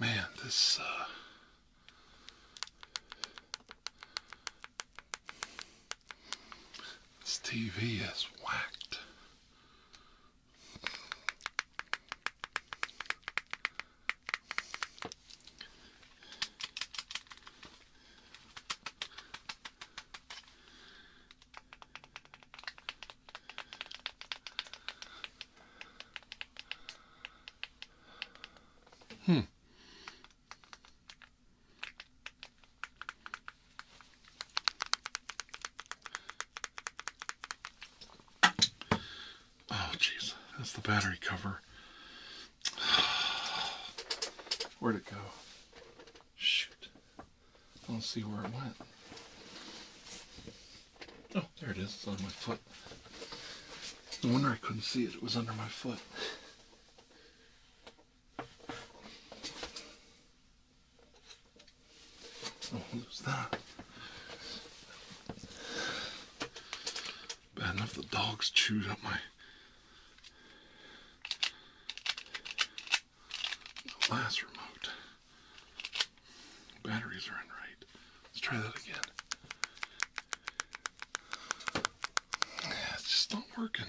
Man, this, uh, This TV is whacked. Hmm. Oh, jeez. That's the battery cover. Where'd it go? Shoot. I don't see where it went. Oh, there it is. It's on my foot. No wonder I couldn't see it. It was under my foot. Oh, lose that. Bad enough the dogs chewed up my last remote. Batteries are in right. Let's try that again. it's just not working.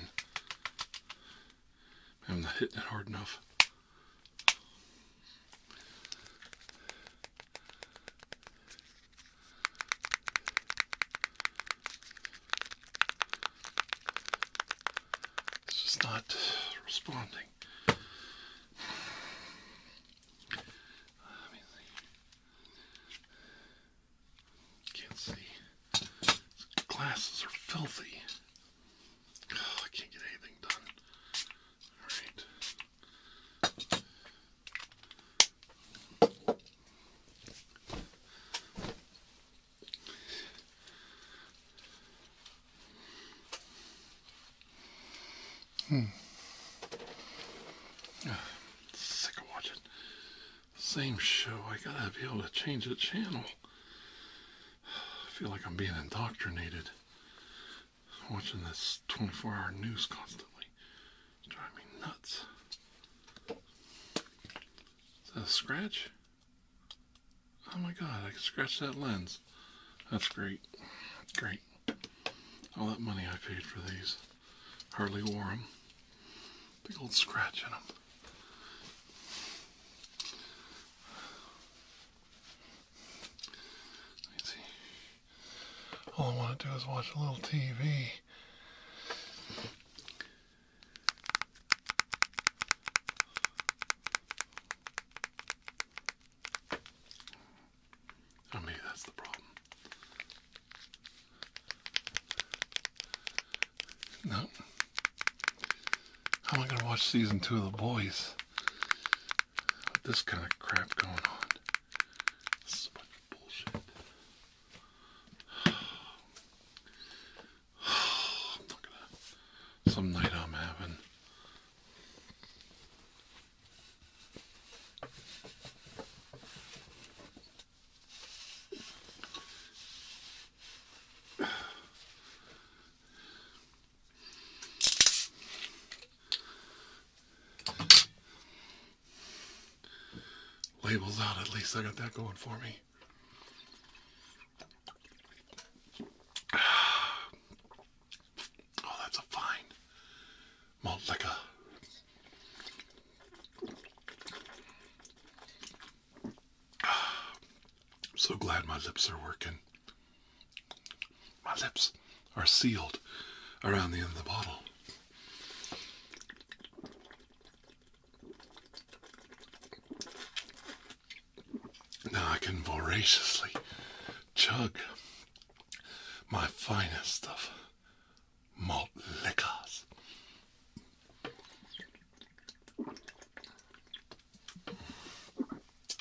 I'm not hitting it hard enough. It's just not responding can't see. glasses are filthy. Oh, I can't get anything done. Alright. Hmm. Ah, sick of watching same show. I gotta be able to change the channel. I feel like I'm being indoctrinated. Watching this 24 hour news constantly. It's driving me nuts. Is that a scratch? Oh my god, I can scratch that lens. That's great. Great. All that money I paid for these. Hardly wore them. Big old scratch in them. Let's see. All I want to do is watch a little TV. Oh, maybe that's the problem. No. How am I going to watch season two of The Boys with this kind of crap going on? Some night I'm having labels out at least I got that going for me Oh, that's a fine malt I'm so glad my lips are working. My lips are sealed around the end of the bottle. Now I can voraciously chug my finest of malt liquors.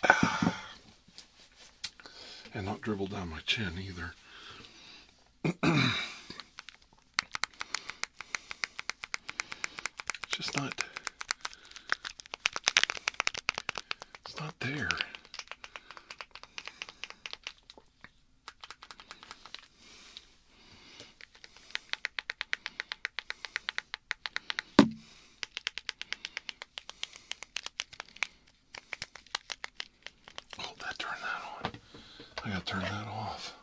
and not dribble down my chin either. it's just not it's not there. Oh, that turned that on. I gotta turn that off.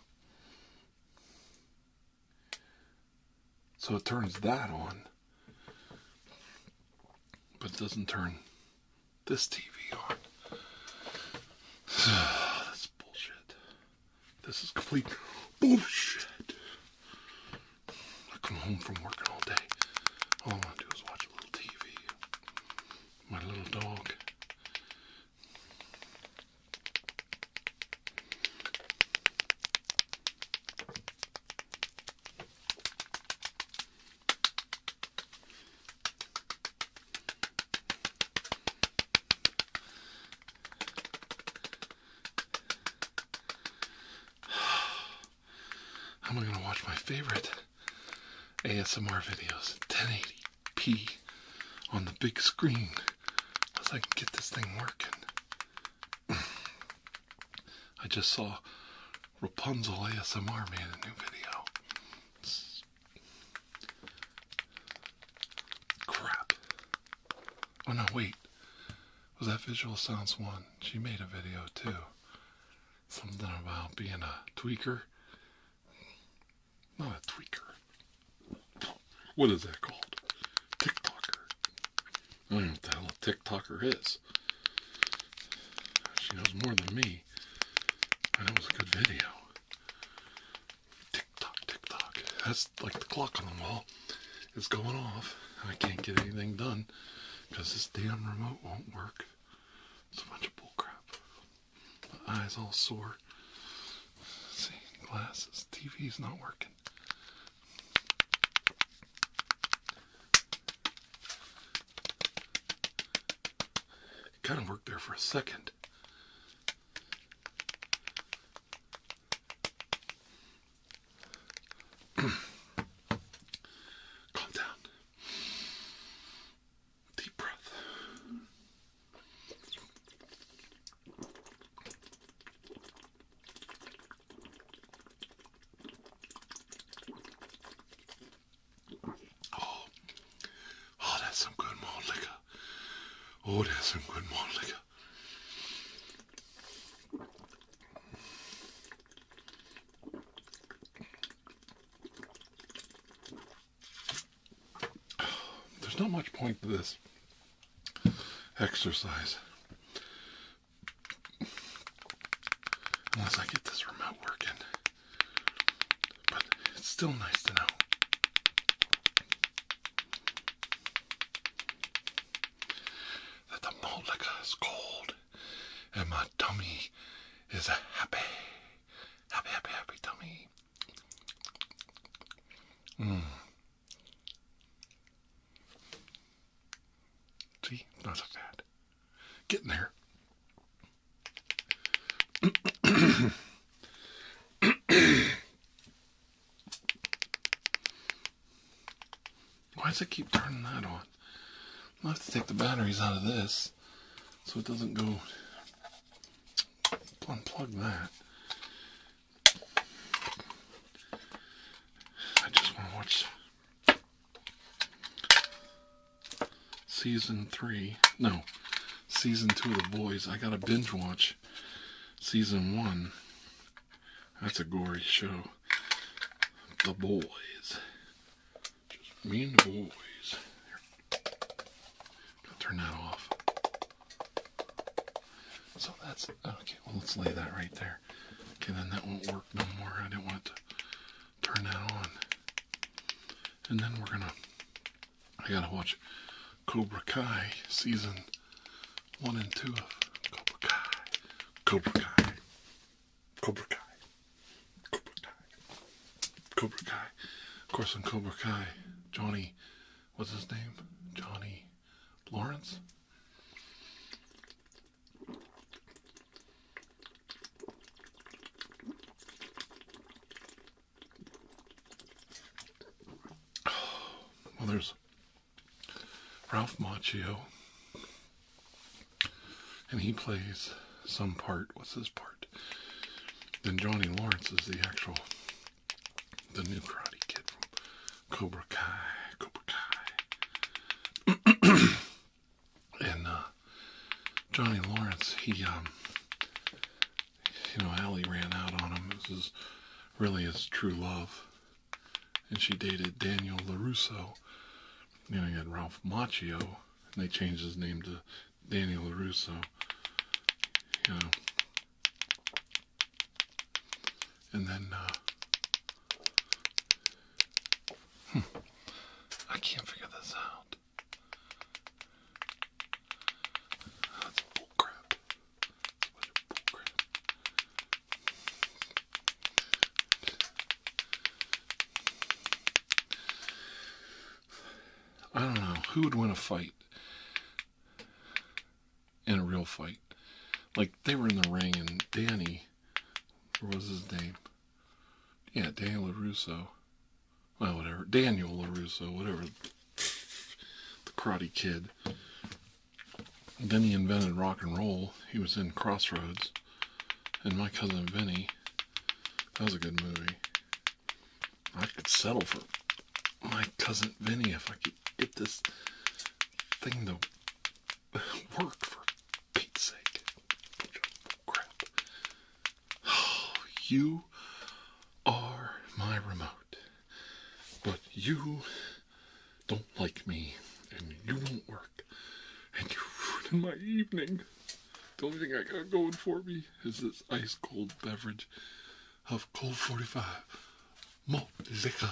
So it turns that on. But it doesn't turn this TV on. That's bullshit. This is complete bullshit. I come home from working all day. All I want to do is watch a little TV. My little dog. How am I going to watch my favorite ASMR videos? 1080p on the big screen. Unless I can get this thing working. I just saw Rapunzel ASMR made a new video. crap. Oh no, wait. Was that Visual Sounds One? She made a video too. Something about being a tweaker. Not a tweaker. What is that called? TikToker. Mm, what the hell a TikToker is. She knows more than me. that was a good video. Tick tock, That's like the clock on the wall It's going off. I can't get anything done because this damn remote won't work. It's a bunch of bullcrap. My eyes all sore. see, glasses, TV's not working. It kind of worked there for a second. Calm down. Deep breath. Oh, oh, that's some good malt liquor. Oh, that's some good malt liquor. There's not much point to this exercise. Unless I get this remote working. But it's still nice to know. That the malt liquor is cold and my tummy is happy, happy, happy, happy tummy. Mmm. See, not that. bad. Getting there. Why does it keep turning that on? I'll have to take the batteries out of this so it doesn't go unplug that. I just want to watch season three. No, season two of The Boys. I got to binge watch season one. That's a gory show. The Boys. Just me and the boys. Turn that off. So that's okay. Well, let's lay that right there. Okay, then that won't work no more. I didn't want to turn that on. And then we're gonna. I gotta watch Cobra Kai season one and two of Cobra Kai. Cobra Kai. Cobra Kai. Cobra Kai. Of course, on Cobra Kai, Johnny. What's his name? Johnny Lawrence? Well, there's Ralph Macchio, and he plays some part. What's his part? Then Johnny Lawrence is the actual, the new karate kid from Cobra Kai. Cobra Kai. and uh, Johnny Lawrence, he, um, you know, Ali ran out on him. This is really his true love. And she dated Daniel LaRusso. You know, he had Ralph Macchio, and they changed his name to Daniel LaRusso. You know, and then uh, hmm, I can't figure this out. That's bullcrap. That's a bullcrap. I don't know who would win a fight in a real fight. Like they were in the ring, and Danny what was his name? Yeah, Daniel Russo. Well, whatever. Daniel Russo. whatever. The Karate Kid. then he invented rock and roll. He was in Crossroads. And My Cousin Vinny. That was a good movie. I could settle for My Cousin Vinny if I could get this thing though. work for Pete's sake. Crap. you are my remote, but you don't like me and you won't work and you ruin my evening. The only thing I got going for me is this ice cold beverage of cold 45 malt liquor.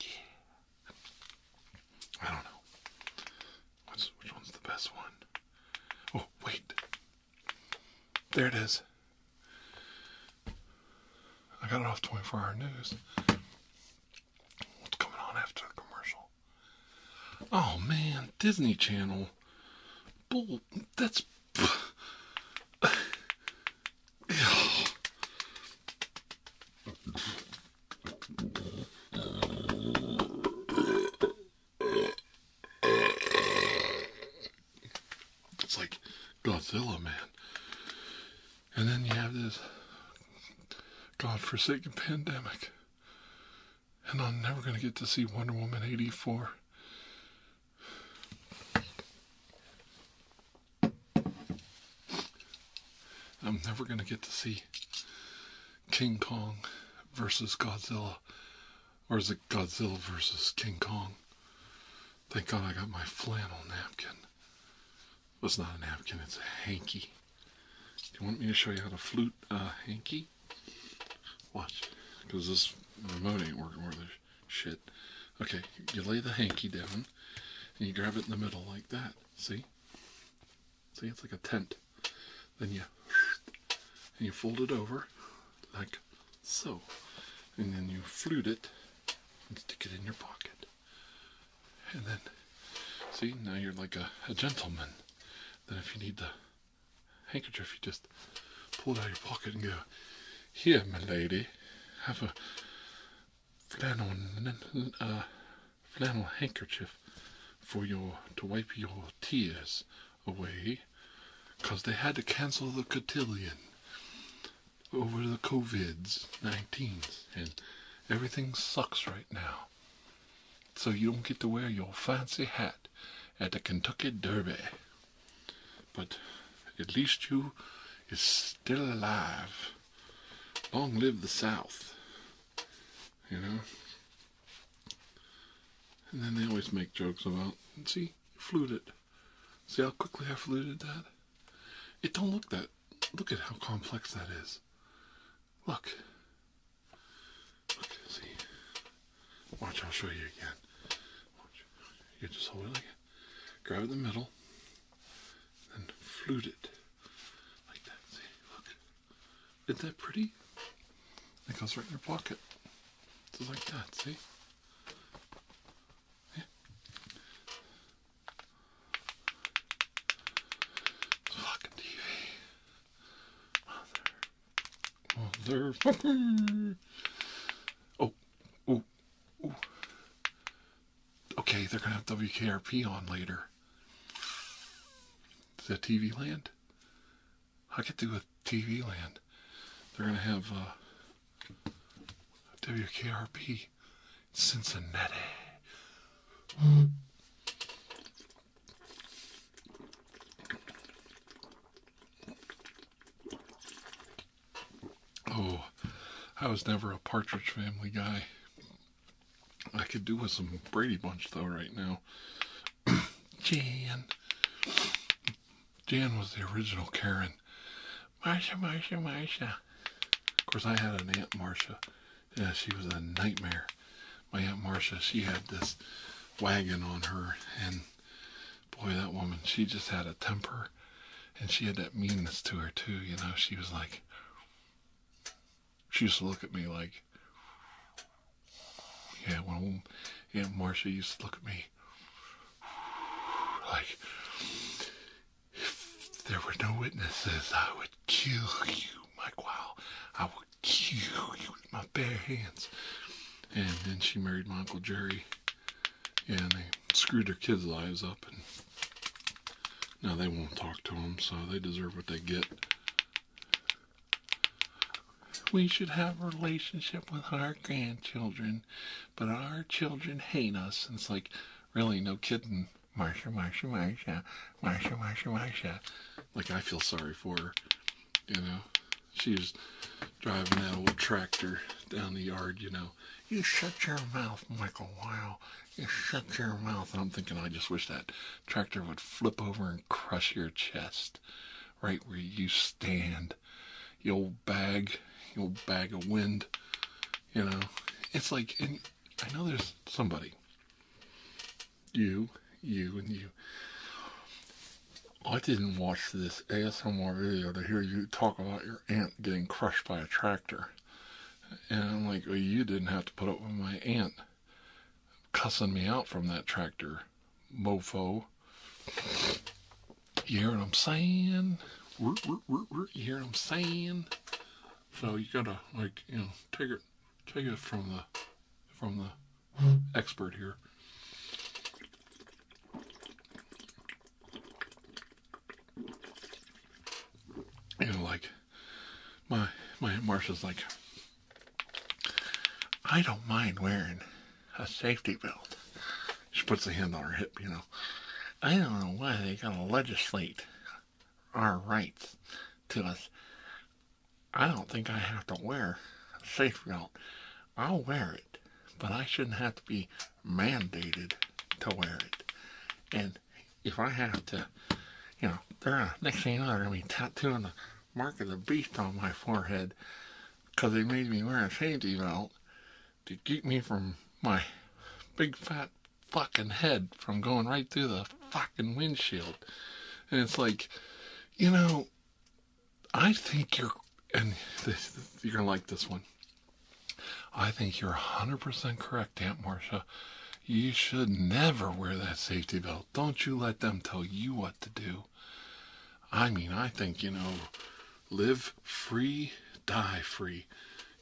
Yeah. I don't know. which one's the best one? Oh, wait. There it is. I got it off 24 Hour News. What's coming on after the commercial? Oh man, Disney Channel. Bull, that's. It's like Godzilla, man. And then you have this godforsaken pandemic. And I'm never going to get to see Wonder Woman 84. I'm never going to get to see King Kong versus Godzilla. Or is it Godzilla versus King Kong? Thank God I got my flannel napkin. Well, it's not a napkin, it's a hanky. Do You want me to show you how to flute a hanky? Watch. Because this remote ain't working worth this shit. Okay, you lay the hanky down and you grab it in the middle like that. See? See, it's like a tent. Then you and you fold it over like so, and then you flute it and stick it in your pocket. And then, see, now you're like a, a gentleman. Then if you need the handkerchief, you just pull it out of your pocket and go, "Here, my lady, have a flannel, uh, flannel handkerchief for your to wipe your tears away because they had to cancel the cotillion over the COVIDs nineteen, and everything sucks right now. So you don't get to wear your fancy hat at the Kentucky Derby. But at least you is still alive long live the South. You know? And then they always make jokes about, see, fluted. See how quickly I fluted that? It don't look that, look at how complex that is. Look. Look, see. Watch, I'll show you again. You just hold it Grab it in the middle and flute it like that. See, look, isn't that pretty? It goes right in your pocket. It's like that, see? Fucking TV. Mother. Motherfucker. Oh. Oh. Oh okay, they're going to have WKRP on later. Is that TV Land? I could do a TV Land. They're going to have uh, WKRP Cincinnati. Oh, I was never a Partridge Family guy. I could do with some Brady Bunch though right now. Jan. Jan was the original Karen. Marcia, Marcia, Marcia. Of course, I had an Aunt Marcia. Yeah, she was a nightmare. My Aunt Marcia, she had this wagon on her, and boy, that woman, she just had a temper, and she had that meanness to her, too. You know, she was like, she used to look at me like, yeah, when Aunt Marcia used to look at me like, if there were no witnesses, I would kill you, Mike Wow. I would kill you with my bare hands. And then she married my Uncle Jerry. and they screwed their kids' lives up and now they won't talk to them, so they deserve what they get. We should have a relationship with our grandchildren, but our children hate us. And it's like, really, no kidding. Marsha, Marsha, Marsha, Marsha, Marsha, Marsha. Like, I feel sorry for her, you know. She's driving that old tractor down the yard, you know. You shut your mouth, Michael Weil. You shut your mouth. And I'm thinking, I just wish that tractor would flip over and crush your chest right where you stand. You old bag, you old bag of wind. You know, it's like, and I know there's somebody, you, you, and you. I didn't watch this ASMR video to hear you talk about your aunt getting crushed by a tractor. And I'm like, well, you didn't have to put up with my aunt cussing me out from that tractor, mofo. You hear what I'm saying? You hear what I'm saying? So you gotta like you know take it take it from the from the expert here. You know, like my my Marsha's like, I don't mind wearing a safety belt. She puts a hand on her hip, you know. I don't know why they gotta legislate our rights to us. I don't think I have to wear a safety belt. I'll wear it, but I shouldn't have to be mandated to wear it. And if I have to, you know, next thing you know, they're gonna be tattooing the mark of the beast on my forehead because they made me wear a safety belt to keep me from my big fat fucking head from going right through the fucking windshield. And it's like, you know, I think you're, and you're gonna like this one. I think you're a 100% correct, Aunt Marcia. You should never wear that safety belt. Don't you let them tell you what to do. I mean, I think, you know, live free, die free.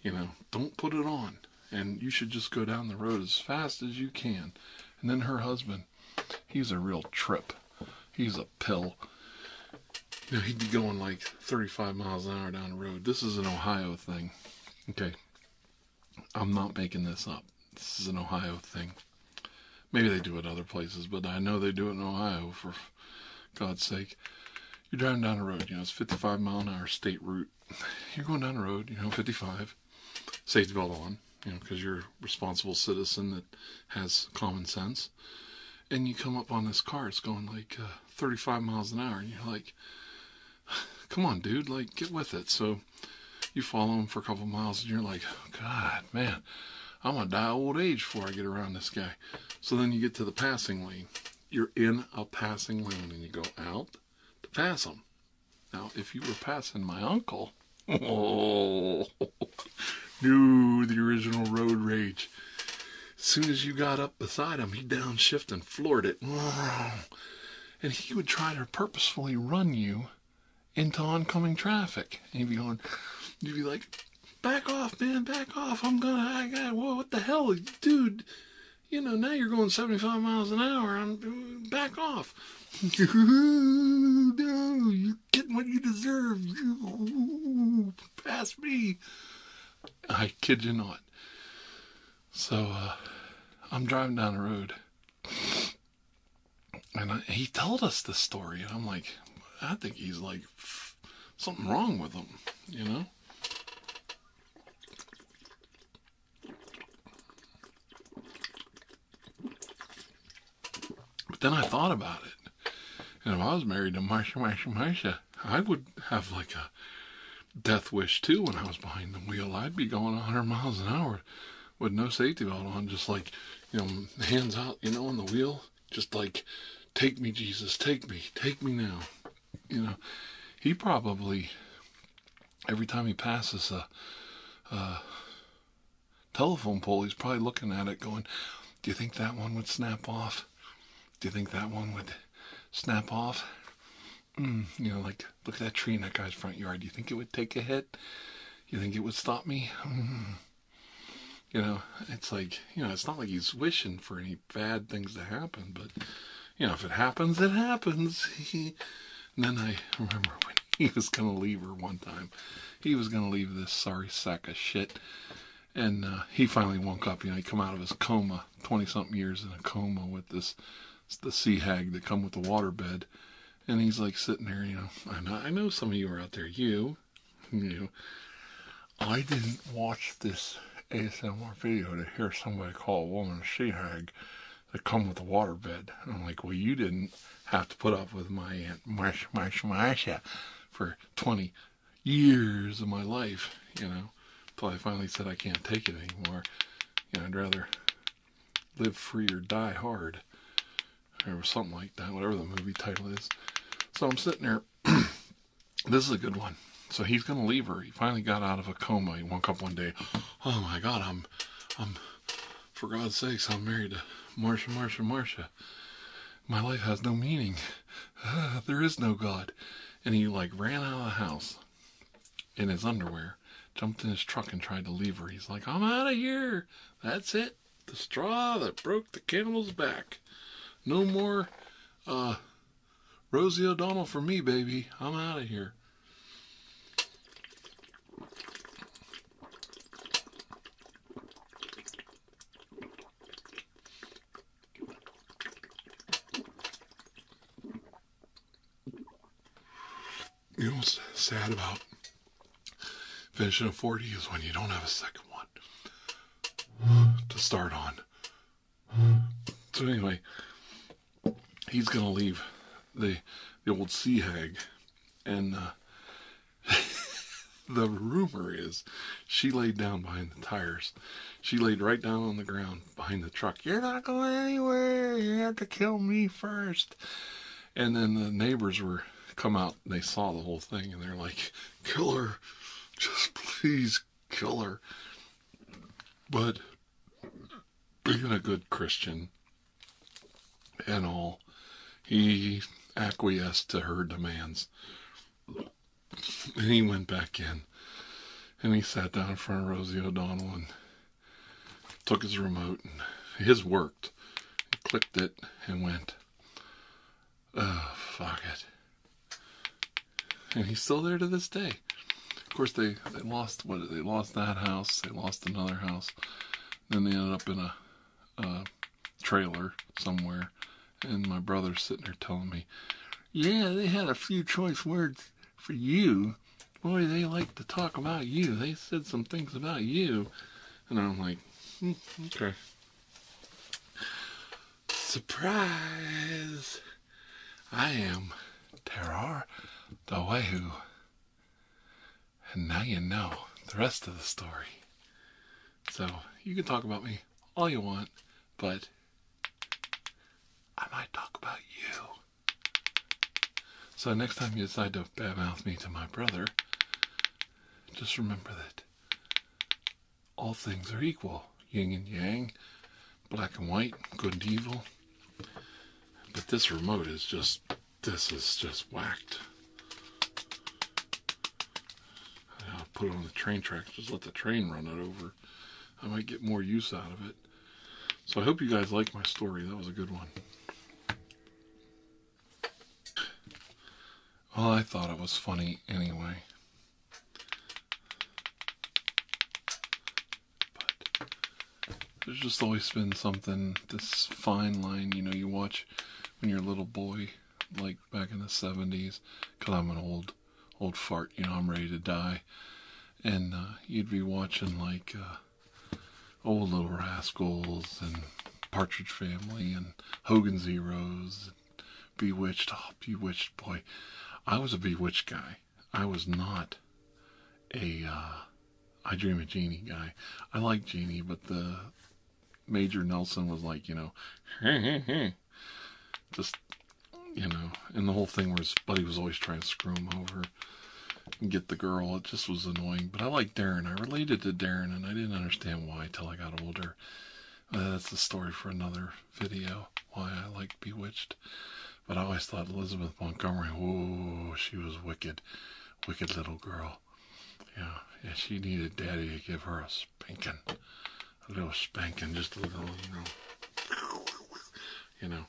You know, don't put it on. And you should just go down the road as fast as you can. And then her husband, he's a real trip. He's a pill. You know, he'd be going like 35 miles an hour down the road. This is an Ohio thing. Okay. I'm not making this up. This is an Ohio thing. Maybe they do it other places, but I know they do it in Ohio for God's sake. You're driving down the road, you know, it's 55 mile an hour state route. You're going down the road, you know, 55, safety belt on, you know, because you're a responsible citizen that has common sense. And you come up on this car, it's going like uh, 35 miles an hour, and you're like, come on, dude, like get with it. So you follow him for a couple miles and you're like, God, man, I'm gonna die old age before I get around this guy. So then you get to the passing lane. You're in a passing lane and you go out to pass him. Now, if you were passing my uncle, oh, no, the original road rage. Soon as you got up beside him, he downshift and floored it. And he would try to purposefully run you into oncoming traffic. And you'd be going, you'd be like, back off, man, back off. I'm gonna, I got, what the hell, dude? You know, now you're going 75 miles an hour. I'm back off. you're getting what you deserve. You pass me. I kid you not. So uh, I'm driving down the road, and he told us the story, and I'm like, I think he's like something wrong with him, you know. But then I thought about it. And if I was married to Marsha Marsha Marsha, I would have like a death wish too when I was behind the wheel. I'd be going 100 miles an hour with no safety belt on, just like you know, hands out, you know, on the wheel, just like take me, Jesus, take me, take me now. You know, he probably every time he passes a telephone pole, he's probably looking at it, going, "Do you think that one would snap off? Do you think that one would?" snap off. Mm, you know, like look at that tree in that guy's front yard. Do You think it would take a hit? You think it would stop me? Mm. You know, it's like you know, it's not like he's wishing for any bad things to happen, but you know, if it happens, it happens. and then I remember when he was gonna leave her one time. He was gonna leave this sorry sack of shit, and uh, he finally woke up. You know, he come out of his coma 20 something years in a coma with this the sea hag that come with the water bed, And he's like sitting there, you know, I know, some of you are out there. You, you, I didn't watch this ASMR video to hear somebody call a woman a sea hag that come with a water bed. I'm like, well, you didn't have to put up with my aunt Marsha Marsha Marsha for 20 years of my life, you know until I finally said I can't take it anymore. You know, I'd rather live free or die hard, or something like that, whatever the movie title is. So I'm sitting there. this is a good one. So he's gonna leave her. He finally got out of a coma. He woke up one day. Oh my God, I'm, I'm, for God's sake, I'm married to Marcia, Marcia, Marcia. My life has no meaning. there is no God. And he like ran out of the house in his underwear, jumped in his truck and tried to leave her. He's like, I'm out of here. That's it. The straw that broke the camel's back. No more uh, Rosie O'Donnell for me, baby. I'm out of here. You know what's sad about finishing a 40 is when you don't have a second one to start on. So anyway, he's gonna leave the the old sea hag, and uh, the rumor is she laid down behind the tires she laid right down on the ground behind the truck. You're not going anywhere. You had to kill me first. And then the neighbors were come out and they saw the whole thing and they're like, kill her. Just please kill her. But being a good Christian and all, he acquiesced to her demands. And he went back in and he sat down in front of Rosie O'Donnell and took his remote and his worked. and clicked it and went, oh, fuck it. And he's still there to this day. Of course, they, they lost what they lost that house. They lost another house. Then they ended up in a trailer somewhere. And my brother's sitting there telling me, yeah, they had a few choice words for you. Boy, they like to talk about you. They said some things about you. And I'm like, hmm, okay. Surprise! I am Tarar the Wahoo. And now you know the rest of the story. So you can talk about me all you want, but I might talk about you. So next time you decide to badmouth me to my brother, just remember that all things are equal, yin and yang, black and white, good and evil. But this remote is just, this is just whacked. I'll put it on the train tracks, just let the train run it over. I might get more use out of it. So I hope you guys like my story. That was a good one. Well, I thought it was funny anyway. But there's just always been something, this fine line, you know, you watch when you're a little boy, like back in the 70s, because I'm an old old fart, you know, I'm ready to die. And uh, you'd be watching like uh, Old Little Rascals and Partridge Family and Hogan's Heroes, Bewitched. Oh, Bewitched, boy. I was a Bewitched guy. I was not a uh, I Dream of Jeannie guy. I like Jeannie, but the Major Nelson was like, you know, Just, you know, and the whole thing where his buddy was always trying to screw him over and get the girl. It just was annoying. But I like Darren. I related to Darren, and I didn't understand why till I got older. Uh, that's the story for another video, why I like Bewitched. But I always thought Elizabeth Montgomery, whoa, she was wicked. Wicked little girl. Yeah, yeah, she needed daddy to give her a spanking a little spanking, just a little, you know, you know.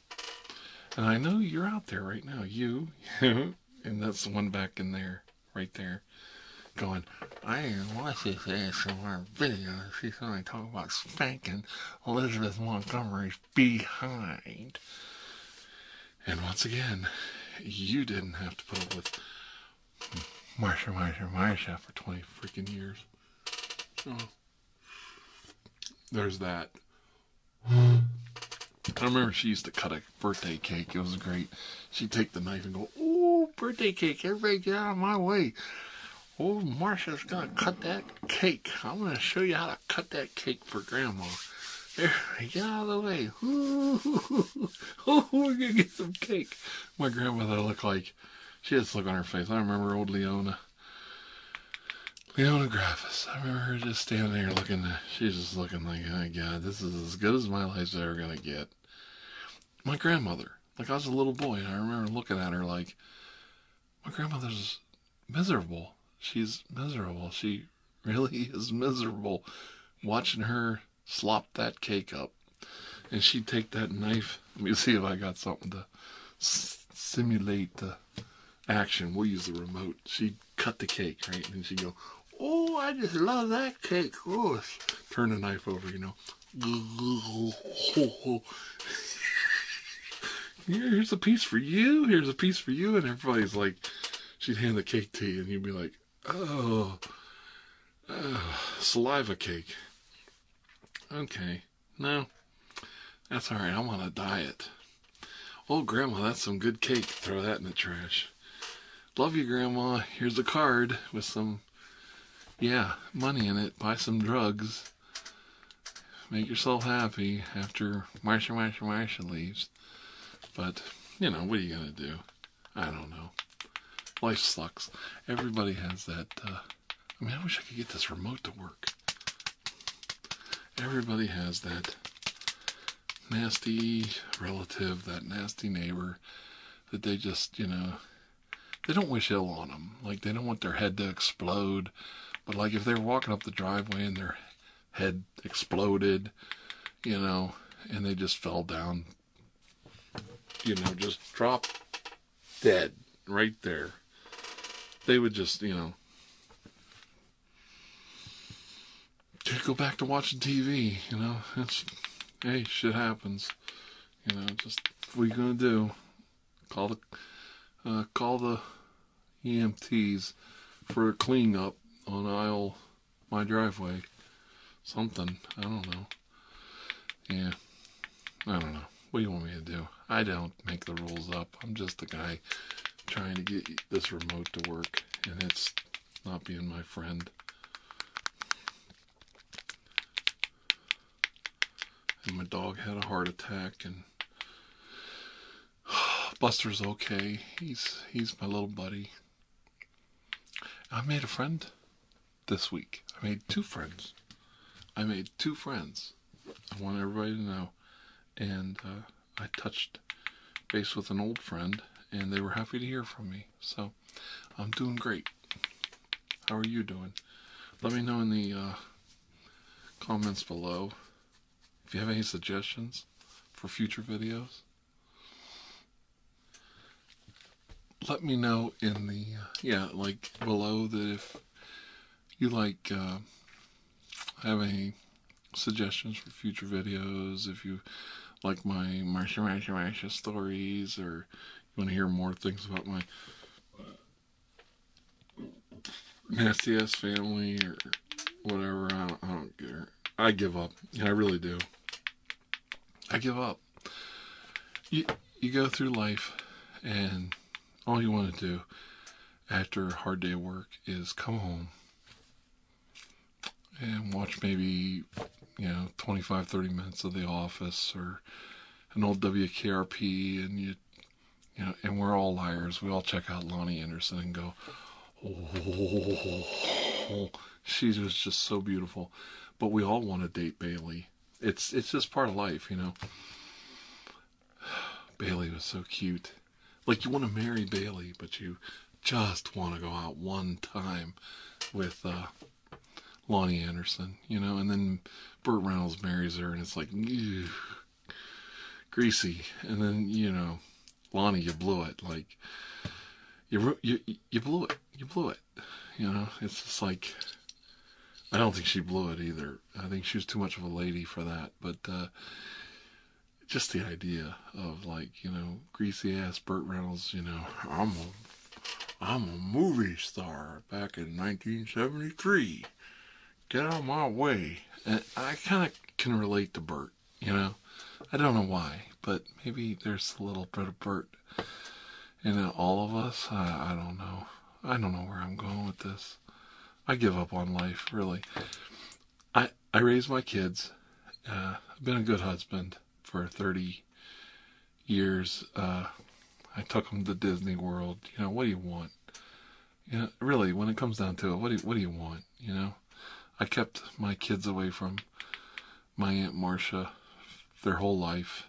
And I know you're out there right now, you, and that's the one back in there, right there, going, I didn't watch this ASMR video. She's going to talk about spanking Elizabeth Montgomery behind. And once again, you didn't have to put up with Marsha, Marsha, Marsha for 20 freaking years. There's that. I remember she used to cut a birthday cake. It was great. She'd take the knife and go, "Oh, birthday cake! Everybody get out of my way! Oh, Marcia's gonna cut that cake. I'm gonna show you how to cut that cake for Grandma." There, get out of the way. Ooh, oh, we're gonna get some cake. My grandmother looked like she had a look on her face. I remember old Leona. Leona I remember her just standing there looking, she's just looking like, oh my god, this is as good as my life's ever gonna get. My grandmother, like I was a little boy, and I remember looking at her like, my grandmother's miserable. She's miserable. She really is miserable watching her slop that cake up. And she'd take that knife. Let me see if I got something to simulate the action. We'll use the remote. She'd cut the cake, right? And she'd go, oh, I just love that cake. Oh, turn the knife over, you know. Here's a piece for you. Here's a piece for you. And everybody's like, she'd hand the cake to you, and you'd be like, oh, uh, saliva cake. Okay. No, that's all right. I'm on a diet. Oh, Grandma, that's some good cake. Throw that in the trash. Love you, Grandma. Here's a card with some, yeah, money in it. Buy some drugs. Make yourself happy after Marsha, Marsha, Marsha leaves. But, you know, what are you going to do? I don't know. Life sucks. Everybody has that. Uh, I mean, I wish I could get this remote to work. Everybody has that nasty relative, that nasty neighbor that they just, you know, they don't wish ill on them. Like, they don't want their head to explode. But, like, if they're walking up the driveway and their head exploded, you know, and they just fell down, you know, just drop dead right there. They would just, you know, go back to watching TV. You know, hey, shit happens. You know, just what are you gonna do? Call the uh, call the EMTs for a clean up on aisle my driveway. Something I don't know. Yeah, I don't know. What do you want me to do? I don't make the rules up. I'm just the guy trying to get this remote to work, and it's not being my friend. And my dog had a heart attack, and Buster's okay. He's he's my little buddy. I made a friend this week. I made two friends. I made two friends. I want everybody to know. And uh, I touched base with an old friend, and they were happy to hear from me. So I'm doing great. How are you doing? Let me know in the uh, comments below if you have any suggestions for future videos. Let me know in the, uh, yeah, like below that if you like uh, have any suggestions for future videos, if you like my Marsha Marsha Marsha stories, or you want to hear more things about my nasty ass family or whatever, I don't, care. I give up. Yeah, I really do. I give up. You you go through life and all you want to do after a hard day of work is come home and watch maybe you know 25 30 minutes of the office or an old wkrp and you you know and we're all liars we all check out lonnie anderson and go oh she was just so beautiful but we all want to date bailey it's it's just part of life, you know. Bailey was so cute. Like you want to marry Bailey, but you just want to go out one time with uh, Lonnie Anderson, you know, and then Burt Reynolds marries her, and it's like greasy, and then you know, Lonnie, you blew it, like you you you blew it, you blew it, you know. It's just like I don't think she blew it either, I think she was too much of a lady for that, but uh, just the idea of like you know greasy ass Burt Reynolds. You know, I'm a I'm a movie star back in 1973. Get out of my way. And I kind of can relate to Burt. You know, I don't know why, but maybe there's a little bit of Burt and all of us. I, don't know. I don't know where I'm going with this. I give up on life, really. I I raised my kids. Uh, I've been a good husband for 30 years. Uh, I took them to Disney World. You know, what do you want? You know, really, when it comes down to it, what do what do you want? You know, I kept my kids away from my aunt Marcia their whole life.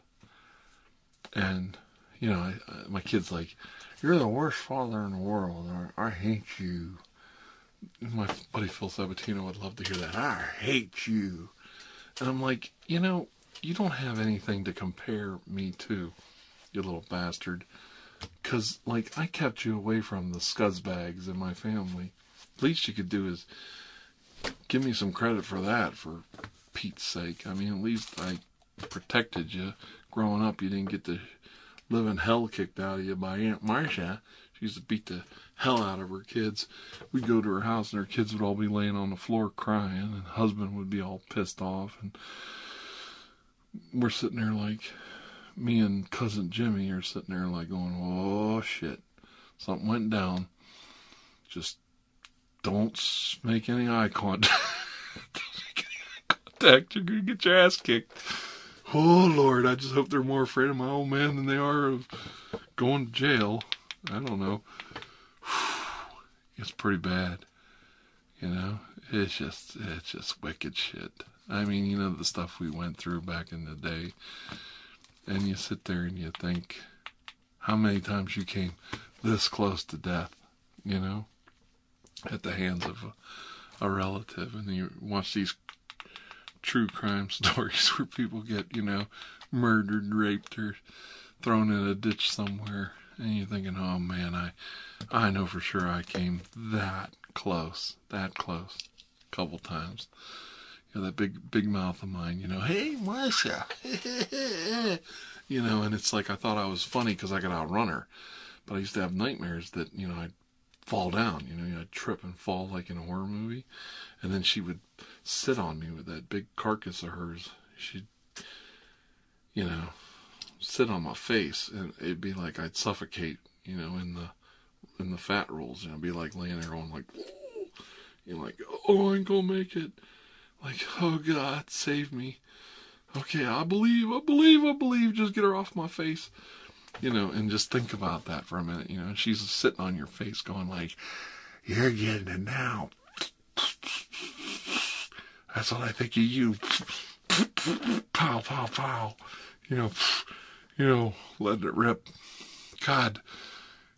And you know, my kid's like, "You're the worst father in the world," "I hate you." My buddy Phil Sabatino would love to hear that. I hate you, and I'm like, you know, you don't have anything to compare me to, you little bastard, because like I kept you away from the scuzzbags in my family. At least you could do is give me some credit for that, for Pete's sake. I mean, at least I protected you. Growing up, you didn't get the living hell kicked out of you by Aunt Marcia. She used to beat the hell out of her kids. We'd go to her house, and her kids would all be laying on the floor crying, and husband would be all pissed off. And we're sitting there like, me and cousin Jimmy are sitting there like going, oh shit, something went down. Just don't make any eye contact. any contact. You're going to get your ass kicked. Oh, Lord. I just hope they're more afraid of my old man than they are of going to jail. I don't know. It's pretty bad. You know, it's just, it's just wicked shit. I mean, you know, the stuff we went through back in the day. And you sit there and you think, how many times you came this close to death, you know, at the hands of a, relative. And you watch these true crime stories where people get, you know, murdered, raped, or thrown in a ditch somewhere. And you're thinking, oh man, I, I know for sure I came that close, that close, a couple times. You know, that big, big mouth of mine, you know, hey, Marcia. you know, and it's like I thought I was funny because I could outrun her. But I used to have nightmares that, you know, I'd fall down, you know, I'd trip and fall like in a horror movie. And then she would sit on me with that big carcass of hers. She'd, you know, sit on my face and it'd be like I'd suffocate, you know, in the in the fat rolls, you know, be like laying there on like you know, like, oh I'm gonna make it like, oh God, save me. Okay, I believe, I believe, I believe. Just get her off my face. You know, and just think about that for a minute. You know, she's sitting on your face going like, you're getting it now. That's all I think of you. Pow, pow, pow. You know, you know, letting it rip. God,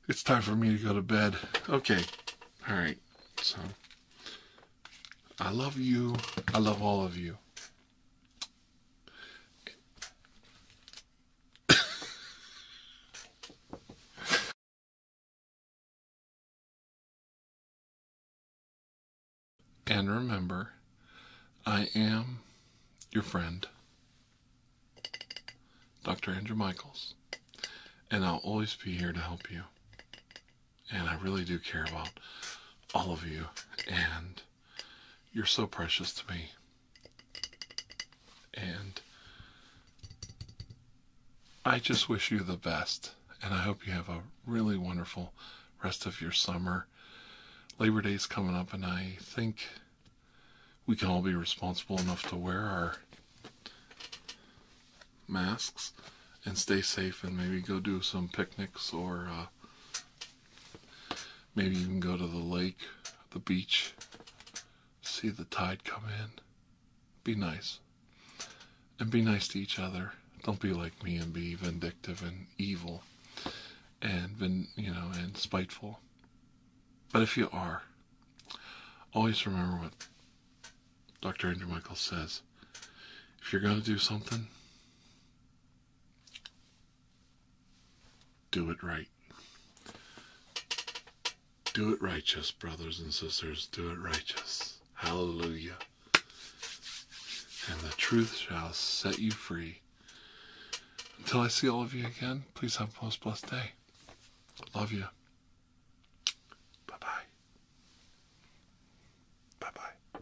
it's time for me to go to bed. Okay. All right. So. I love you. I love all of you. and remember, I am your friend, Dr. Andrew Michaels, and I'll always be here to help you. And I really do care about all of you. And you're so precious to me. And I just wish you the best. And I hope you have a really wonderful rest of your summer. Labor Day's coming up, and I think we can all be responsible enough to wear our masks and stay safe and maybe go do some picnics or uh, maybe even go to the lake, the beach, see the tide come in. Be nice. And be nice to each other. Don't be like me and be vindictive and evil and you know, and spiteful. But if you are, always remember what Dr. Andrew Michael says, if you're going to do something, do it right. Do it righteous, brothers and sisters. Do it righteous. Hallelujah. And the truth shall set you free. Until I see all of you again, please have a most blessed day. Love you. Bye bye. Bye bye.